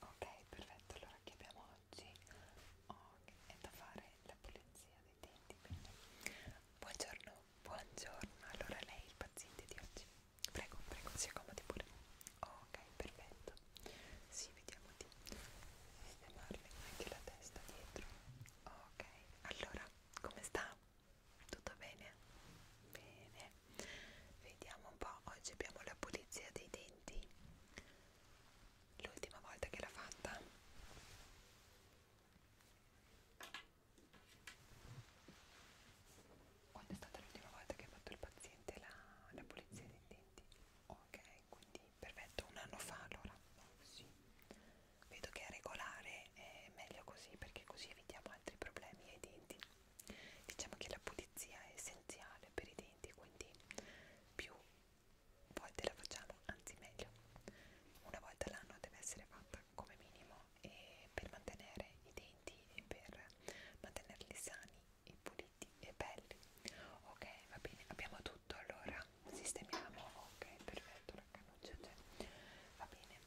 Ok, perfetto, allora che abbiamo oggi? Okay, è da fare la pulizia dei denti, quindi buongiorno, buongiorno, allora lei è il paziente di oggi, prego, prego, si accomodi pure, ok, perfetto, sì, vediamo di sistemarle anche la testa dietro, ok, allora, come sta? Tutto bene? Bene, vediamo un po' oggi abbiamo la pulizia dei denti l'ultima volta che l'ho fatta quando è stata l'ultima volta che ha fatto il paziente la, la pulizia dei denti ok quindi perfetto un anno fa allora oh, sì. vedo che è regolare è meglio così perché così evitiamo altri problemi ai denti diciamo che la pulizia è essenziale per i denti quindi più volte la facciamo anzi meglio una volta l'anno deve essere fatta come minimo e per mantenere i denti e per mantenerli sani e puliti e belli ok va bene abbiamo tutto allora sistemiamo ok perfetto la cannuccia c'è va bene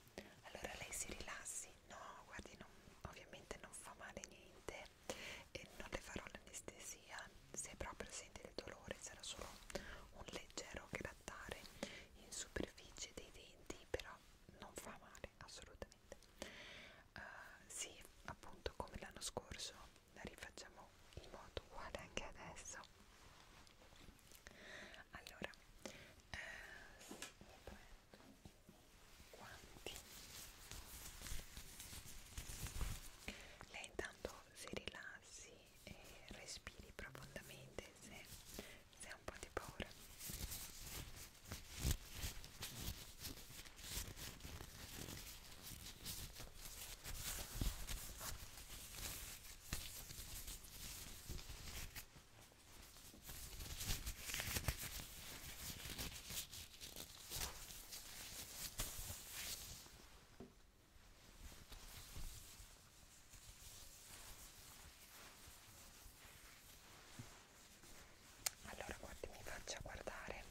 allora lei si rilassi no guardi non, ovviamente non fa male niente e non le farò l'anestesia se proprio senti il dolore sarà solo un leggero grattare in superficie dei denti però non fa male assolutamente uh, sì appunto come l'anno scorso la rifacciamo in modo uguale anche adesso allora eh, mi prendo guanti lei intanto si rilassi e respiri profondamente se, se ha un po' di paura allora, guardi, mi faccia guardare.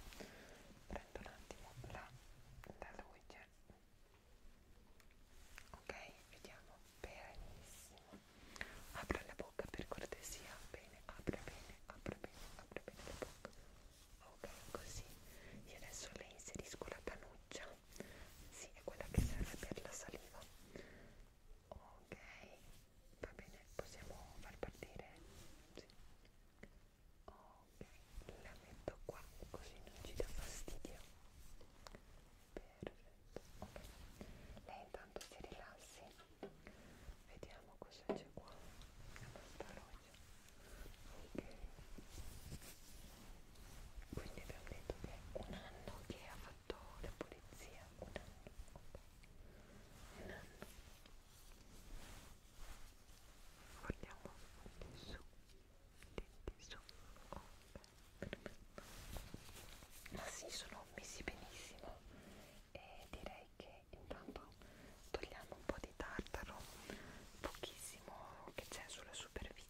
Prendo un attimo la luce. Ok, vediamo benissimo apra la bocca per cortesia bene apra bene apra bene apra bene la bocca ok così io adesso le inserisco la cannuccia sì è quella che serve per la saliva ok va bene possiamo far partire sì. ok la metto qua così non ci dà fastidio perfetto ok lei intanto si rilassi vediamo cosa c'è qua questa roggia ok quindi abbiamo detto che è un anno che ha fatto la polizia un anno okay. un anno guardiamo di su di su ok ma si sono messi benissimo e direi che intanto togliamo un po' di tartaro pochissimo che c'è sulla superficie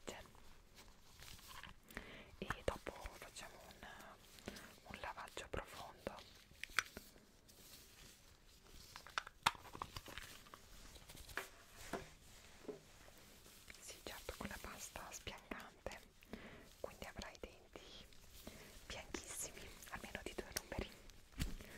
e dopo facciamo un, un lavaggio profondo sì certo con la pasta spiancante dente quindi avrai i denti bianchissimi almeno di due numeri okay.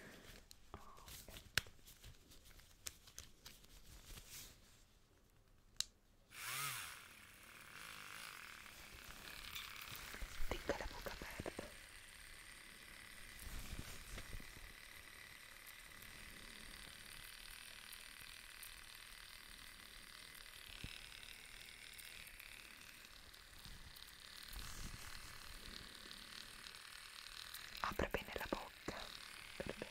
Tenga la bocca aperta. Apre bene la bocca. Perfetto.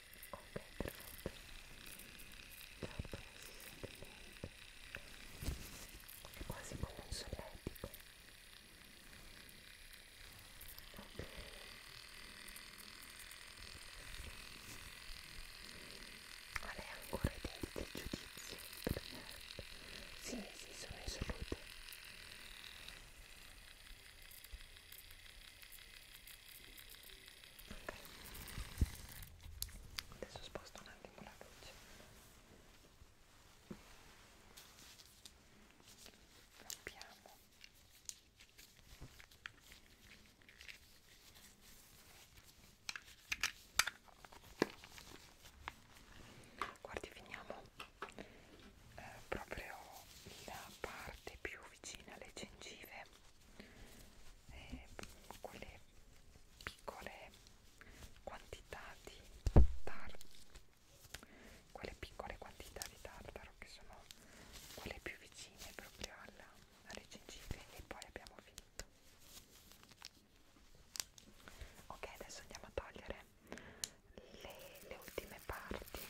ok perfetto l'erba non si sente niente è quasi come un solletico ok ma lei ha ancora i denti del giudizio per me? sì, sì, sono in salute Ok. Adesso sposto un attimo la luce. Rompiamo. Guardi, finiamo eh, proprio la parte più vicine alle gengive e eh, quelle piccole quantità di tartaro quelle piccole quantità di tartaro che sono quelle più vicine proprio alla, alle gengive e poi abbiamo finito ok adesso andiamo a togliere le, le ultime parti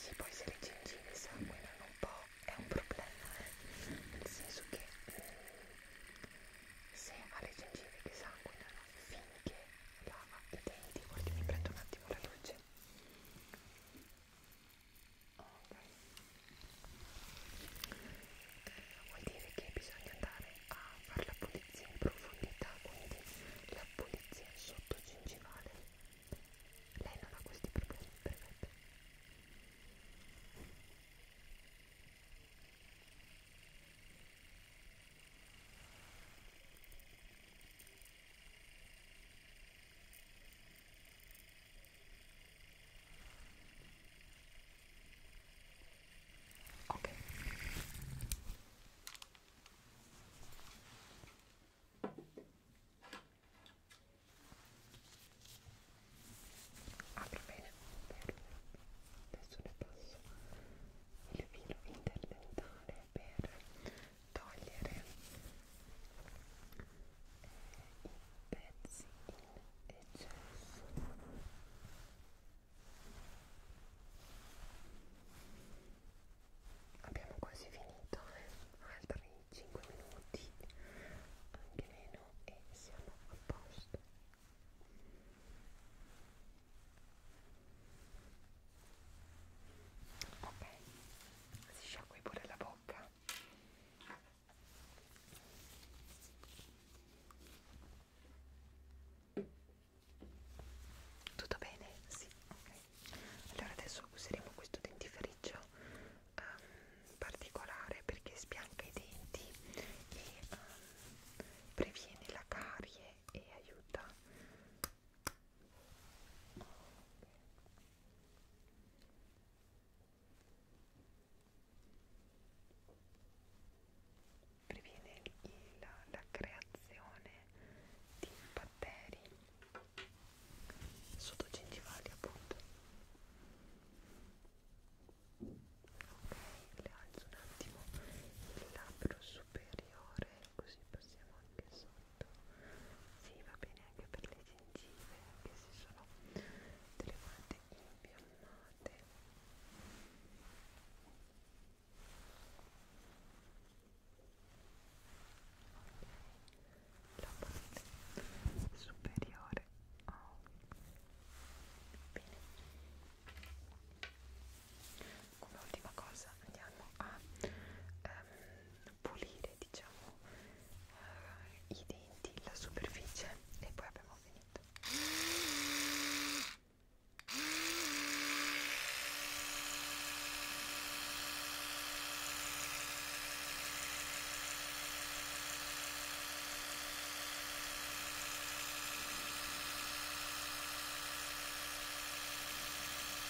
se poi se le gengive sanguinano un po' è un problema eh? nel senso che mm, se ha le gengive che sanguinano finché lava i denti guardi mi prendo un attimo la luce eh, vuol dire che bisogna andare a fare la pulizia in profondità quindi la pulizia sotto gingivale lei non ha questi problemi perfetto ok Ok. Apri bene. Adesso ne passo il filo interdentale per togliere i pezzi in eccesso abbiamo quasi finito eh? altri 5 minuti anche meno e siamo a posto ok si sciacqui pure la bocca tutto bene? Sì, ok. Allora adesso useremo questo dentifricio um, particolare perché spianca i denti e um, previene la carie e aiuta. Okay previene il, la, la creazione di batteri sottogengivali appunto ok le alzo un attimo il labbro superiore così possiamo anche sotto molto sì va bene anche per le gengive anche se sono delle volte impiammate ok la parte superiore oh. bene come ultima cosa andiamo a ehm, pulire diciamo eh, i denti, la superficie e poi abbiamo finito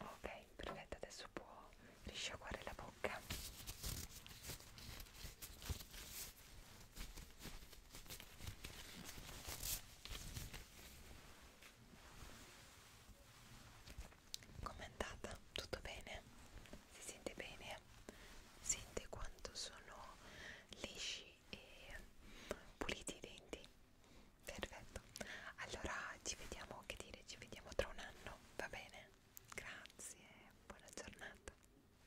Ok, perfetto, adesso può risciacquare la bocca. Com'è andata? Tutto bene? Si sente bene? Sente quanto sono lisci e puliti i denti? Perfetto. Allora ci vediamo, che dire, ci vediamo tra un anno, va bene? Grazie, buona giornata.